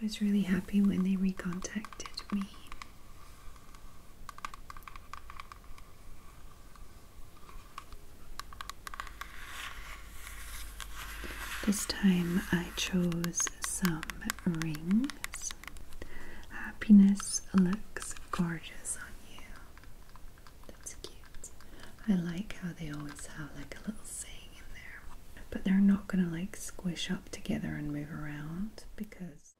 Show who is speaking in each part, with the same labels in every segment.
Speaker 1: I was really happy when they recontacted me. This time I chose some rings. Happiness looks gorgeous on you. That's cute. I like how they always have like a little saying but they're not going to like squish up together and move around because.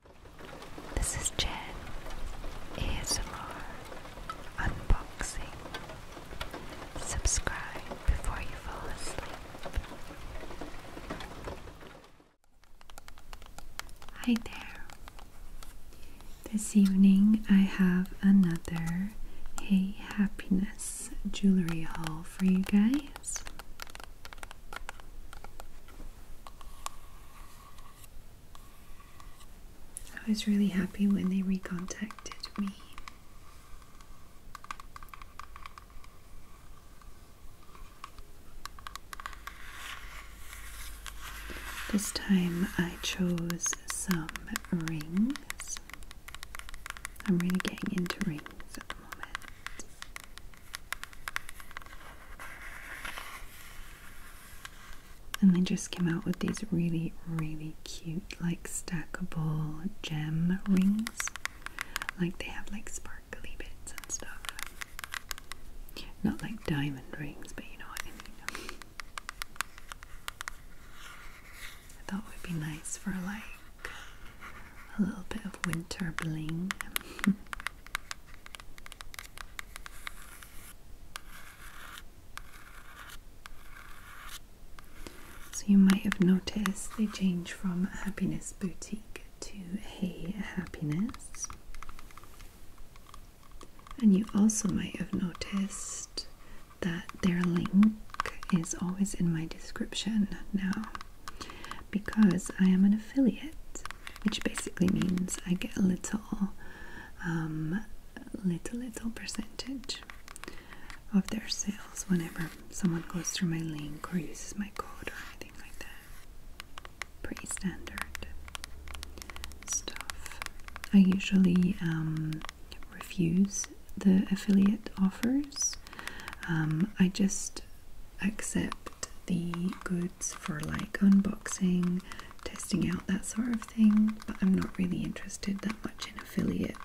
Speaker 1: This is Jen ASMR Unboxing. Subscribe before you fall asleep. Hi there. This evening I have another Hey Happiness jewelry haul for you guys. I was really happy when they recontacted me. This time I chose some rings. I'm really getting into rings at the moment. And they just came out with these really, really cute, like stackable gem rings. Like they have like sparkly bits and stuff. Not like diamond rings, but you know what I mean. I thought would be nice for like a little bit of winter bling. so, you might have noticed they change from Happiness Boutique to Hey Happiness. And you also might have noticed that their link is always in my description now because I am an affiliate, which basically means I get a little, um, little, little percentage of their sales whenever someone goes through my link or uses my code or anything like that. Pretty standard stuff. I usually um, refuse the affiliate offers. Um, I just accept the goods for like unboxing, testing out that sort of thing, but I'm not really interested that much in affiliate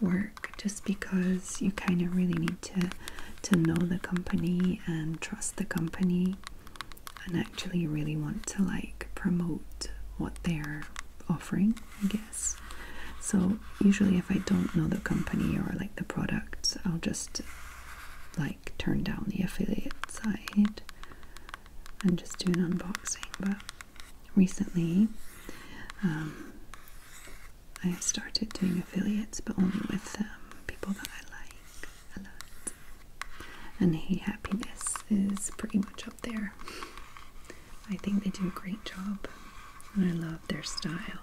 Speaker 1: work just because you kind of really need to to know the company and trust the company and actually really want to like promote what they're offering I guess. So usually if I don't know the company or like the products, I'll just like turn down the affiliate side and just do an unboxing. But recently um, I have started doing affiliates, but only with um, people that I like a lot. And he Happiness is pretty much there. I think they do a great job, and I love their style.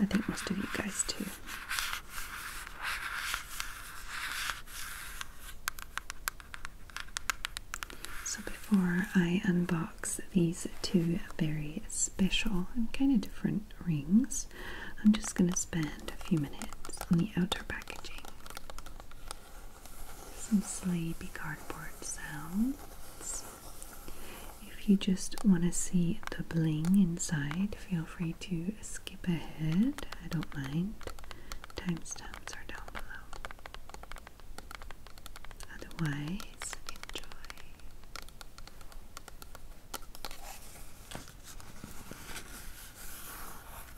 Speaker 1: I think most of you guys do. So, before I unbox these two very special and kind of different rings, I'm just going to spend a few minutes on the outer packaging some sleepy cardboard sounds. If you just want to see the bling inside, feel free to skip ahead. I don't mind. Timestamps are down below. Otherwise, enjoy.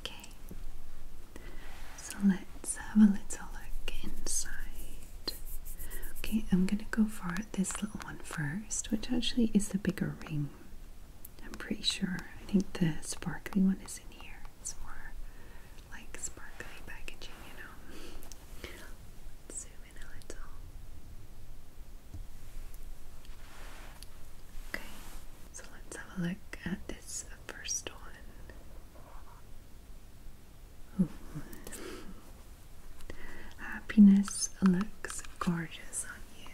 Speaker 1: Okay, so let's have a little look inside. Okay, I'm gonna go for this little one first, which actually is the bigger ring. I'm pretty sure. I think the sparkly one is in here. It's more like sparkly packaging, you know. zoom in a little. Okay. So let's have a look at this first one. Hmm. Happiness looks gorgeous on you.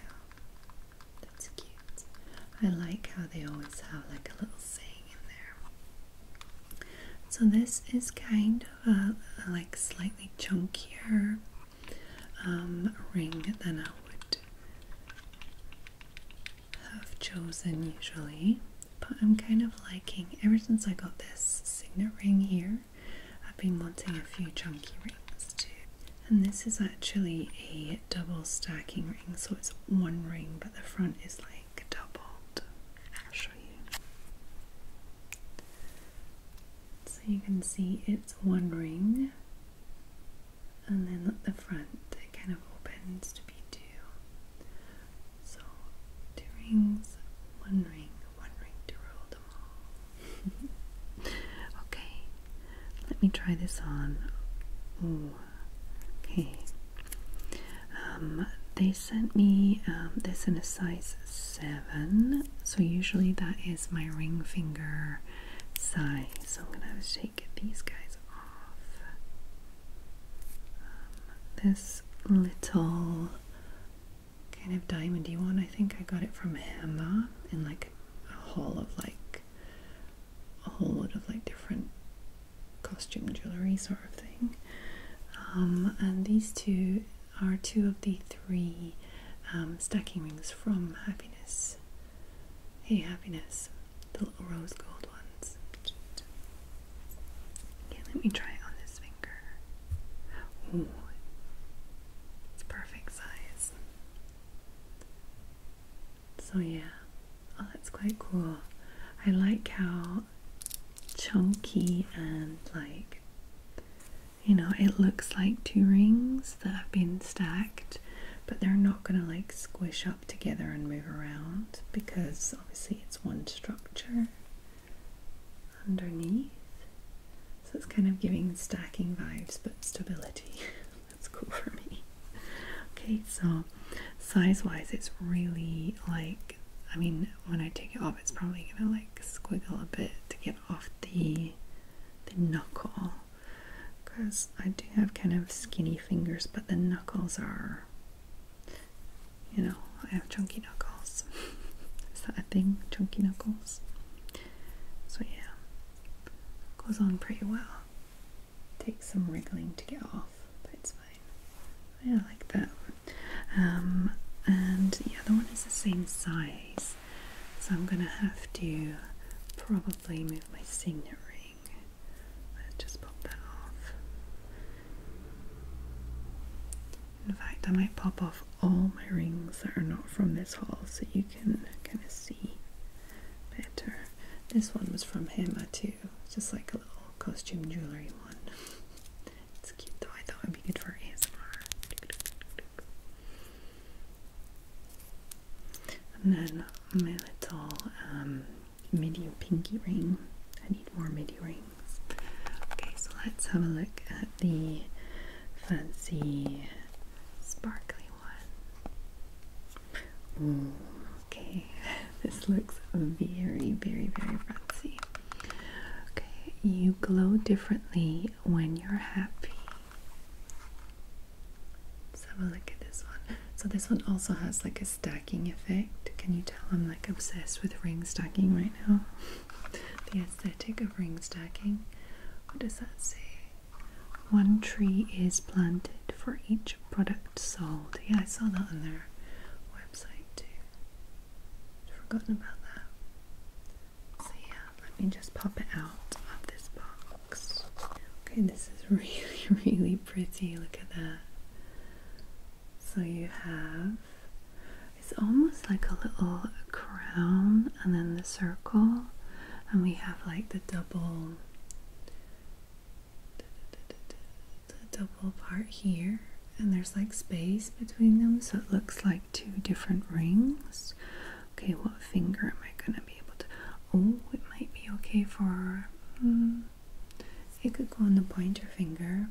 Speaker 1: That's cute. I like how they always have like a little saying in there. So this is kind of a, like slightly chunkier um, ring than I would have chosen usually. But I'm kind of liking, ever since I got this signet ring here, I've been wanting a few chunky rings too. And this is actually a double stacking ring, so it's one ring, but the front is like doubled. I'll show you. So you can see it's one ring and then the front it kind of opens to be two. So two rings, one ring, one ring to rule them all. okay, let me try this on. okay. Um, they sent me um, this in a size 7, so usually that is my ring finger size. So I'm gonna have shake these guys off. Um, this little kind of diamondy one, I think I got it from Hema in like a haul of like a whole lot of like different costume jewelry sort of thing. Um, and these two are two of the three um, stacking rings from Happiness Hey, happiness. The little rose gold ones. Okay, let me try it on this finger. Ooh, it's perfect size. So, yeah. Oh, that's quite cool. I like how chunky and like you know it looks like two rings that have been stacked but they're not going to like squish up together and move around because obviously it's one structure underneath so it's kind of giving stacking vibes but stability that's cool for me okay so size wise it's really like I mean when I take it off it's probably gonna like squiggle a bit to get off the the knuckle because I do have kind of skinny fingers, but the knuckles are, you know, I have chunky knuckles. Is that a thing? Chunky knuckles? So, yeah, goes on pretty well. Takes some wriggling to get off, but it's fine. I like that. Um, and the other one is the same size. So I'm gonna have to probably move my signet ring. Let's just pop that off. In fact, I might pop off all my rings that are not from this haul so you can kind of see better. This one was from Hema too, just like a little costume jewellery one. It's cute though, I thought would be good for ASMR. And then my little um, midi pinky ring. I need more midi rings. Okay, so let's have a look at the fancy sparkly one. okay, this looks very, very, very fancy. Okay, you glow differently when you're happy. Let's have a look at this one. So this one also has like a stacking effect. Can you tell I'm like obsessed with ring stacking right now? the aesthetic of ring stacking. What does that say? One tree is planted for each product sold. Yeah, I saw that on their website too. forgotten about that. So yeah, let me just pop it out of this box. Okay, this is really, really pretty. Look at that. So you have, it's almost like a little crown and then the circle. And we have like the double, the double part here. And there's like space between them. So it looks like two different rings. Okay, what finger am I gonna be able to? Oh, it might be okay for. Hmm, it could go on the pointer finger.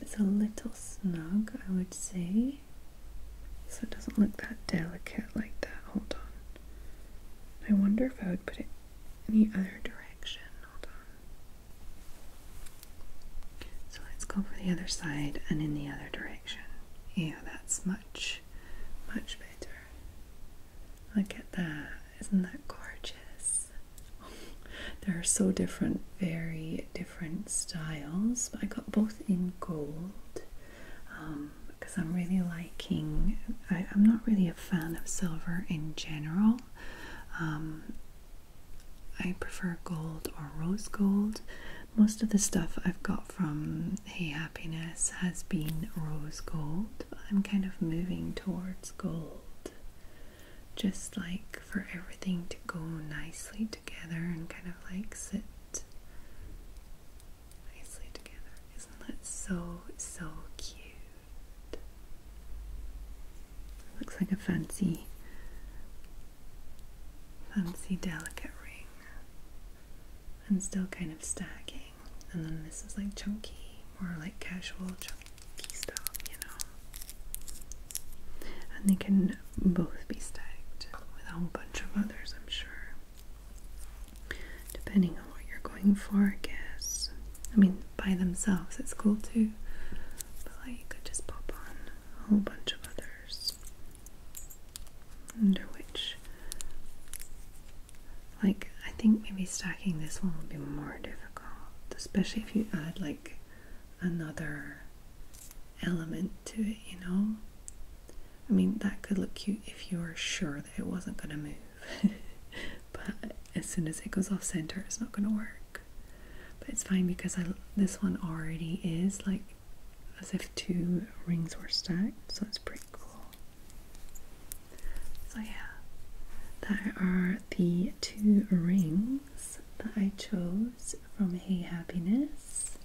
Speaker 1: It's a little snug, I would say. So it doesn't look that delicate like that. Hold on. I wonder if I would put it any other direction. Hold on. So let's go for the other side and in the other direction. Yeah, that's much, much better. Look at that. Isn't that gorgeous? there are so different, very different styles. But I got both in gold because um, I'm really liking, I, am not really a fan of silver in general. Um, I prefer gold or rose gold. Most of the stuff I've got from Hey Happiness has been rose gold. I'm kind of moving towards gold. Just like for everything to go nicely together and kind of like sit nicely together. Isn't that so, so cute? Looks like a fancy, fancy, delicate ring. And still kind of stacking, and then this is like chunky, more like casual chunky stuff, you know. And they can both be stacked with a whole bunch of others, I'm sure. Depending on what you're going for, I guess. I mean, by themselves, it's cool too, but like you could just pop on a whole bunch of others. Under which, like, I think maybe stacking this one would be more difficult, especially if you add like another element to it, you know? I mean, that could look cute if you were sure that it wasn't going to move, but as soon as it goes off center, it's not going to work. But it's fine because I, this one already is like as if two rings were stacked, so it's pretty cool. So, yeah, there are the two rings that I chose from Hey Happiness.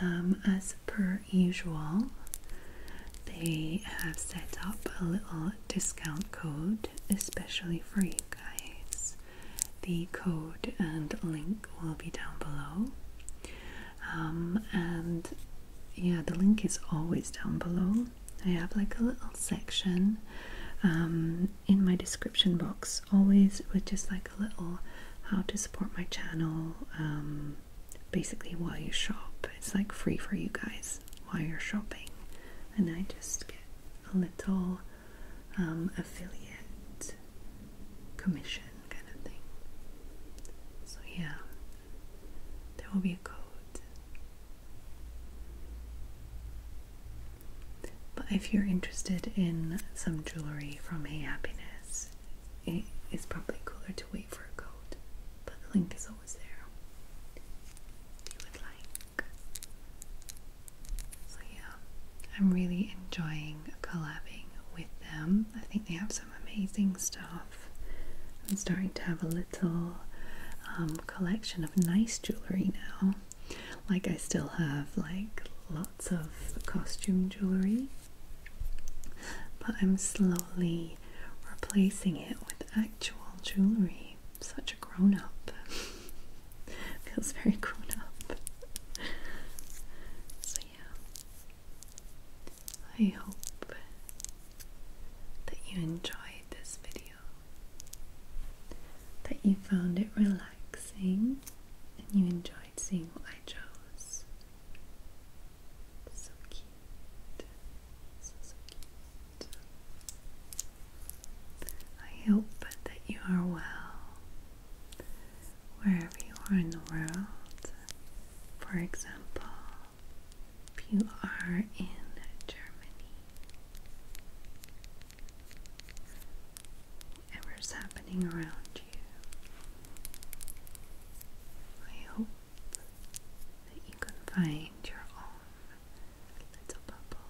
Speaker 1: Um, as per usual, they have set up a little discount code especially for you guys. The code and link will be down below. Um, and yeah, the link is always down below. I have like a little section um, in my description box, always with just like a little how to support my channel, um, basically while you shop. It's like free for you guys while you're shopping. And I just get a little um, affiliate commission kind of thing. So, yeah, there will be a code. But if you're interested in some jewelry from Hey Happiness, it is probably cooler to wait for a code. But the link is always there if you would like. So yeah, I'm really enjoying collabing with them. I think they have some amazing stuff. I'm starting to have a little um, collection of nice jewelry now. Like I still have like lots of costume jewelry, but I'm slowly replacing it with actual jewelry. Such a grown up. Feels very grown up. so yeah, I hope that you enjoyed this video, that you found it relaxing, and you enjoyed seeing what I chose. So cute. So, so cute. I hope that you are well wherever you are in the world. For example, if you are in Germany, whatever's happening around you, I hope that you can find your own little bubble